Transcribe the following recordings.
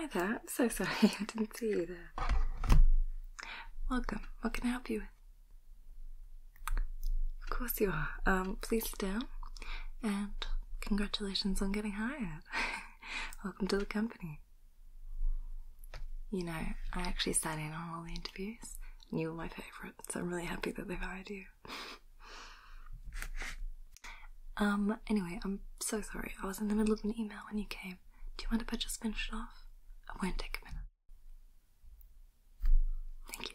Hi there, so sorry I didn't see you there. Welcome. What can I help you with? Of course you are. Um, please sit down. And congratulations on getting hired. Welcome to the company. You know, I actually sat in on all the interviews, and you were my favourite, so I'm really happy that they hired you. um, anyway, I'm so sorry. I was in the middle of an email when you came. Do you want to just finish it off? I won't take a minute. Thank you.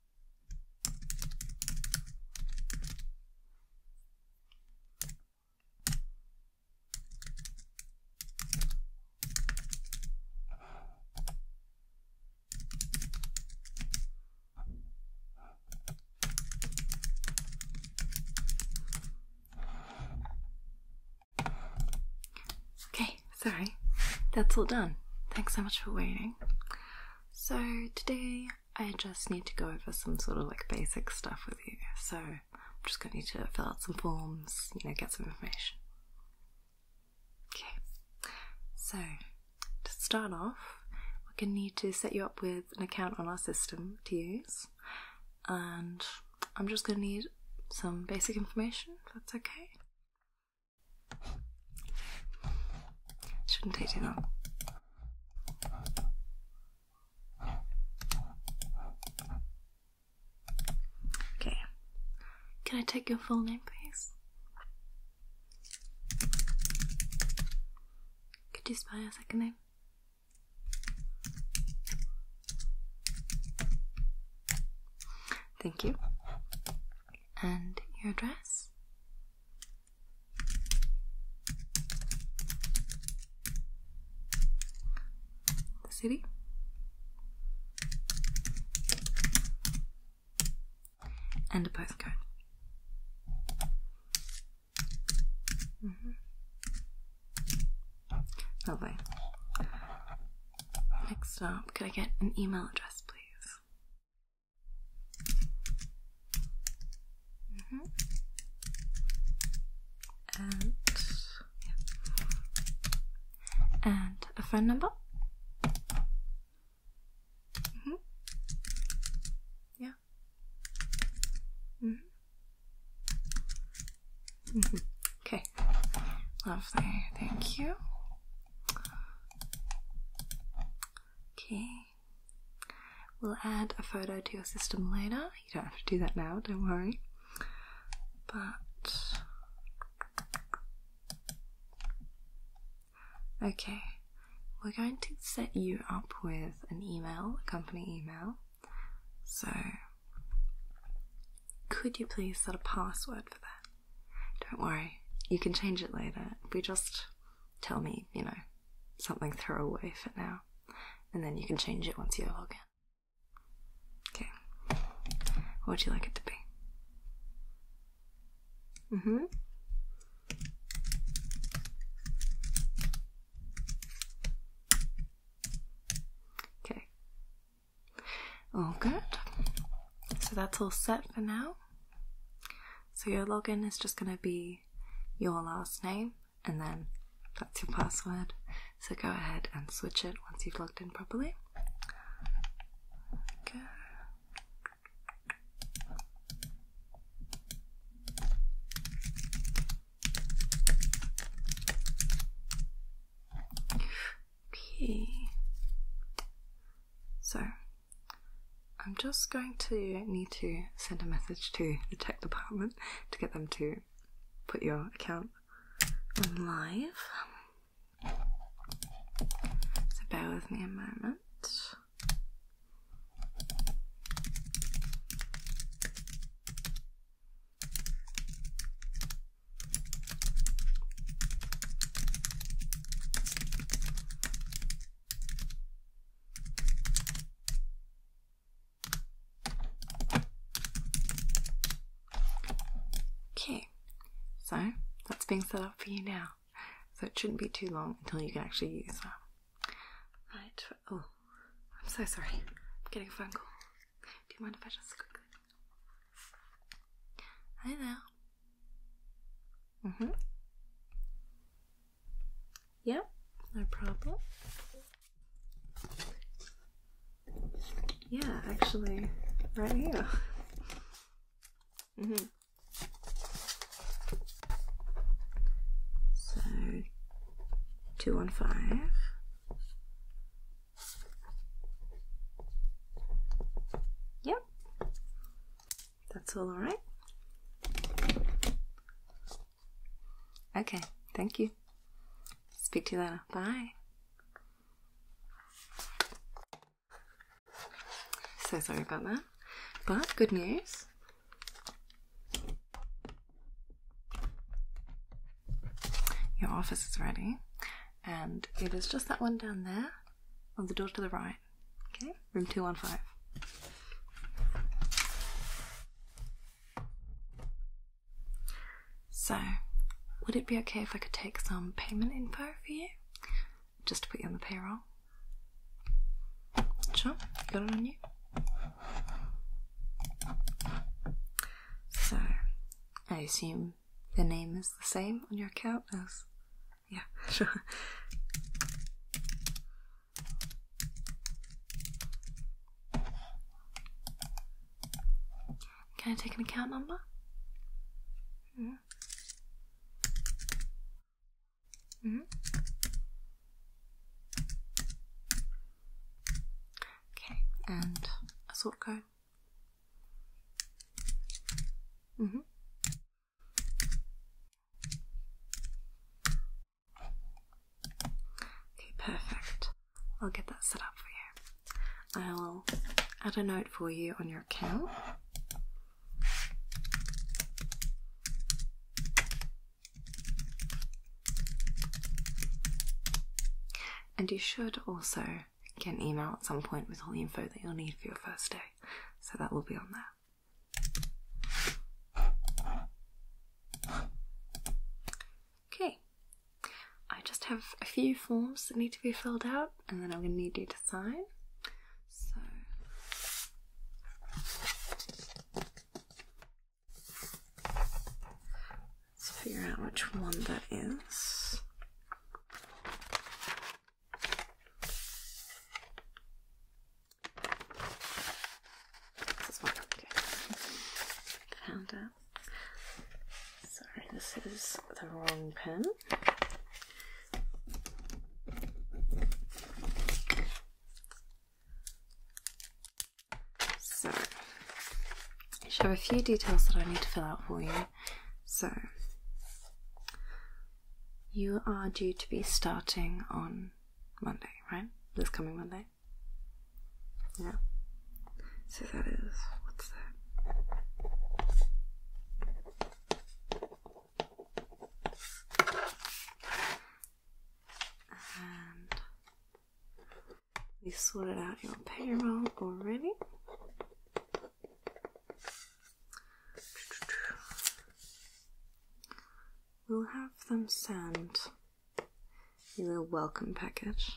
Okay, sorry. That's all done. Thanks so much for waiting. So today I just need to go over some sort of like basic stuff with you. So I'm just gonna need to fill out some forms, you know, get some information. Okay. So to start off, we're gonna need to set you up with an account on our system to use. And I'm just gonna need some basic information, that's okay. Shouldn't take too long. Okay. Can I take your full name, please? Could you spell your second name? Thank you. And your address? The city. And a postcode. Mm -hmm. Next up, could I get an email address, please? Mm-hmm. And yeah. and a phone number. Mm-hmm. Yeah. Mm-hmm. Okay. Lovely. Thank you. Okay. We'll add a photo to your system later. You don't have to do that now, don't worry. But. Okay, we're going to set you up with an email, a company email. So, could you please set a password for that? Don't worry, you can change it later. We just tell me, you know, something throwaway for now, and then you can change it once you log in. Okay. What would you like it to be? Mm hmm. Okay. All good. So that's all set for now. So your login is just going to be your last name and then that's your password. So go ahead and switch it once you've logged in properly. Okay. So I'm just going to need to send a message to the tech department to get them to put your account live. So bear with me a moment. Okay, so that's being set up for you now. So it shouldn't be too long until you can actually use it. Right, oh, I'm so sorry. I'm getting a phone call. Do you mind if I just quickly? Hi there. Uh mm-hmm. huh. Yep, no problem. Yeah, actually, right here. Mm hmm. So, two one five. Yep. That's alright? Okay, thank you. Speak to you later. Bye. So sorry about that. But good news. Your office is ready, and it is just that one down there on the door to the right. Okay, room 215. So, would it be okay if I could take some payment info for you? Just to put you on the payroll? Sure, got it on you? So, I assume the name is the same on your account as yeah, sure. Can I take an account number? -hmm. -hmm. Okay, and a sort code. Mm -hmm. Okay, perfect. I'll get that set up for you. I'll add a note for you on your account. And you should also get an email at some point with all the info that you'll need for your first day. So that will be on there. Okay, I just have a few forms that need to be filled out, and then I'm going to need you to sign. So, let's figure out which one that is. Found it. Sorry, this is the wrong pen. So, I have a few details that I need to fill out for you. So, you are due to be starting on Monday, right? This coming Monday? Yeah. So that is, what's that? You sorted out your payroll already. We'll have them send your little welcome package.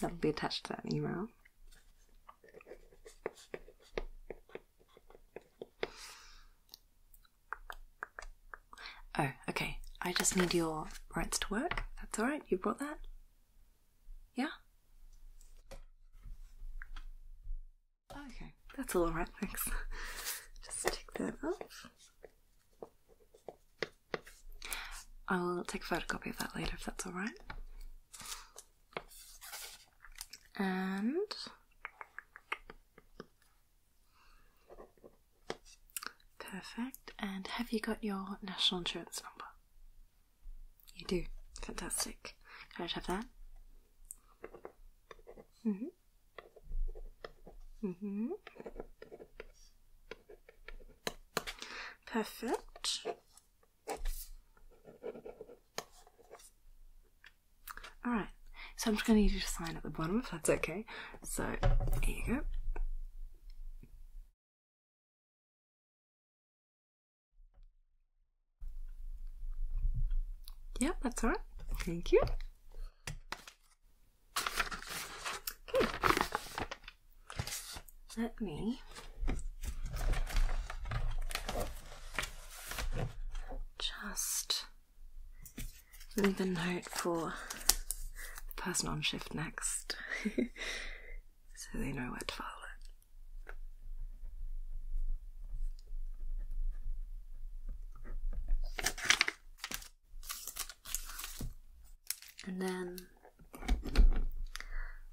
That'll be attached to that email. Oh, okay. I just need your rights to work. That's alright, you brought that? Yeah? Okay, that's alright, thanks. Just take that off. I'll take a photocopy of that later if that's alright. And perfect. And have you got your national insurance number? You do. Fantastic. Can I have that? Mm-hmm. Mm-hmm. Perfect. Alright, so I'm just going to need you to sign at the bottom if that's okay. So, here you go. Yeah, that's all right. Thank you. Okay. Let me just leave a note for the person on shift next so they know where to file it and then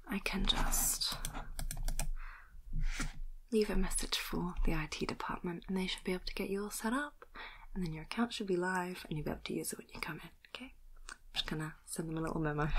I can just leave a message for the IT department and they should be able to get you all set up and then your account should be live and you'll be able to use it when you come in, okay? I'm just gonna send them a little memo.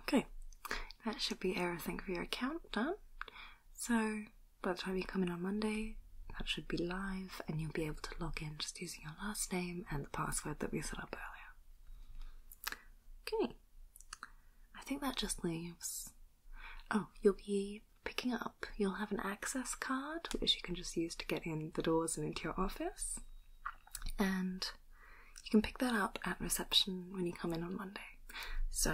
Okay, that should be everything for your account done. So, by the time you come in on Monday, that should be live and you'll be able to log in just your last name and the password that we set up earlier. Okay, I think that just leaves. Oh, you'll be picking up, you'll have an access card which you can just use to get in the doors and into your office, and you can pick that up at reception when you come in on Monday. So,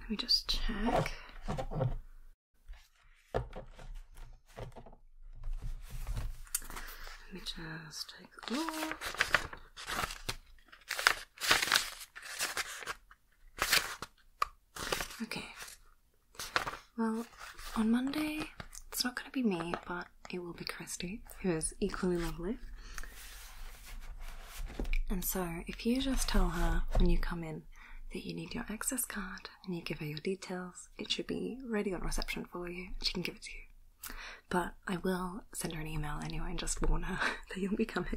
let me just check. Let me just take a look. Okay. Well, on Monday, it's not going to be me, but it will be Christy, who is equally lovely. And so, if you just tell her when you come in that you need your access card and you give her your details, it should be ready on reception for you. She can give it to you. But I will send her an email anyway and just warn her that you'll be coming.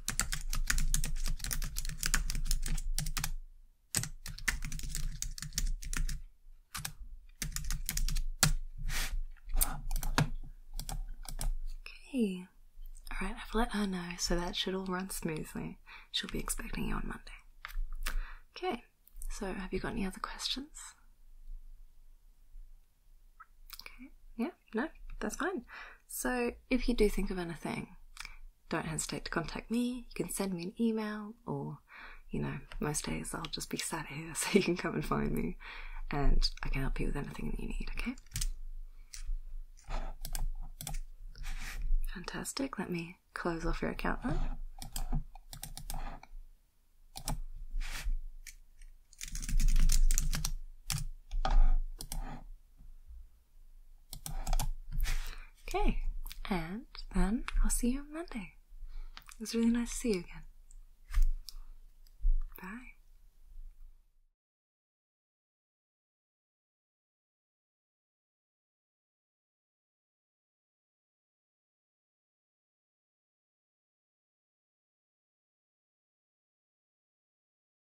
Okay. Alright, I've let her know, so that should all run smoothly. She'll be expecting you on Monday. Okay, so have you got any other questions? Okay, yeah? no, that's fine. So if you do think of anything, don't hesitate to contact me. You can send me an email, or you know, most days I'll just be sat here, so you can come and find me, and I can help you with anything that you need. Okay. Fantastic. Let me close off your account then. Okay, and then I'll see you on Monday. It was really nice to see you again. Bye.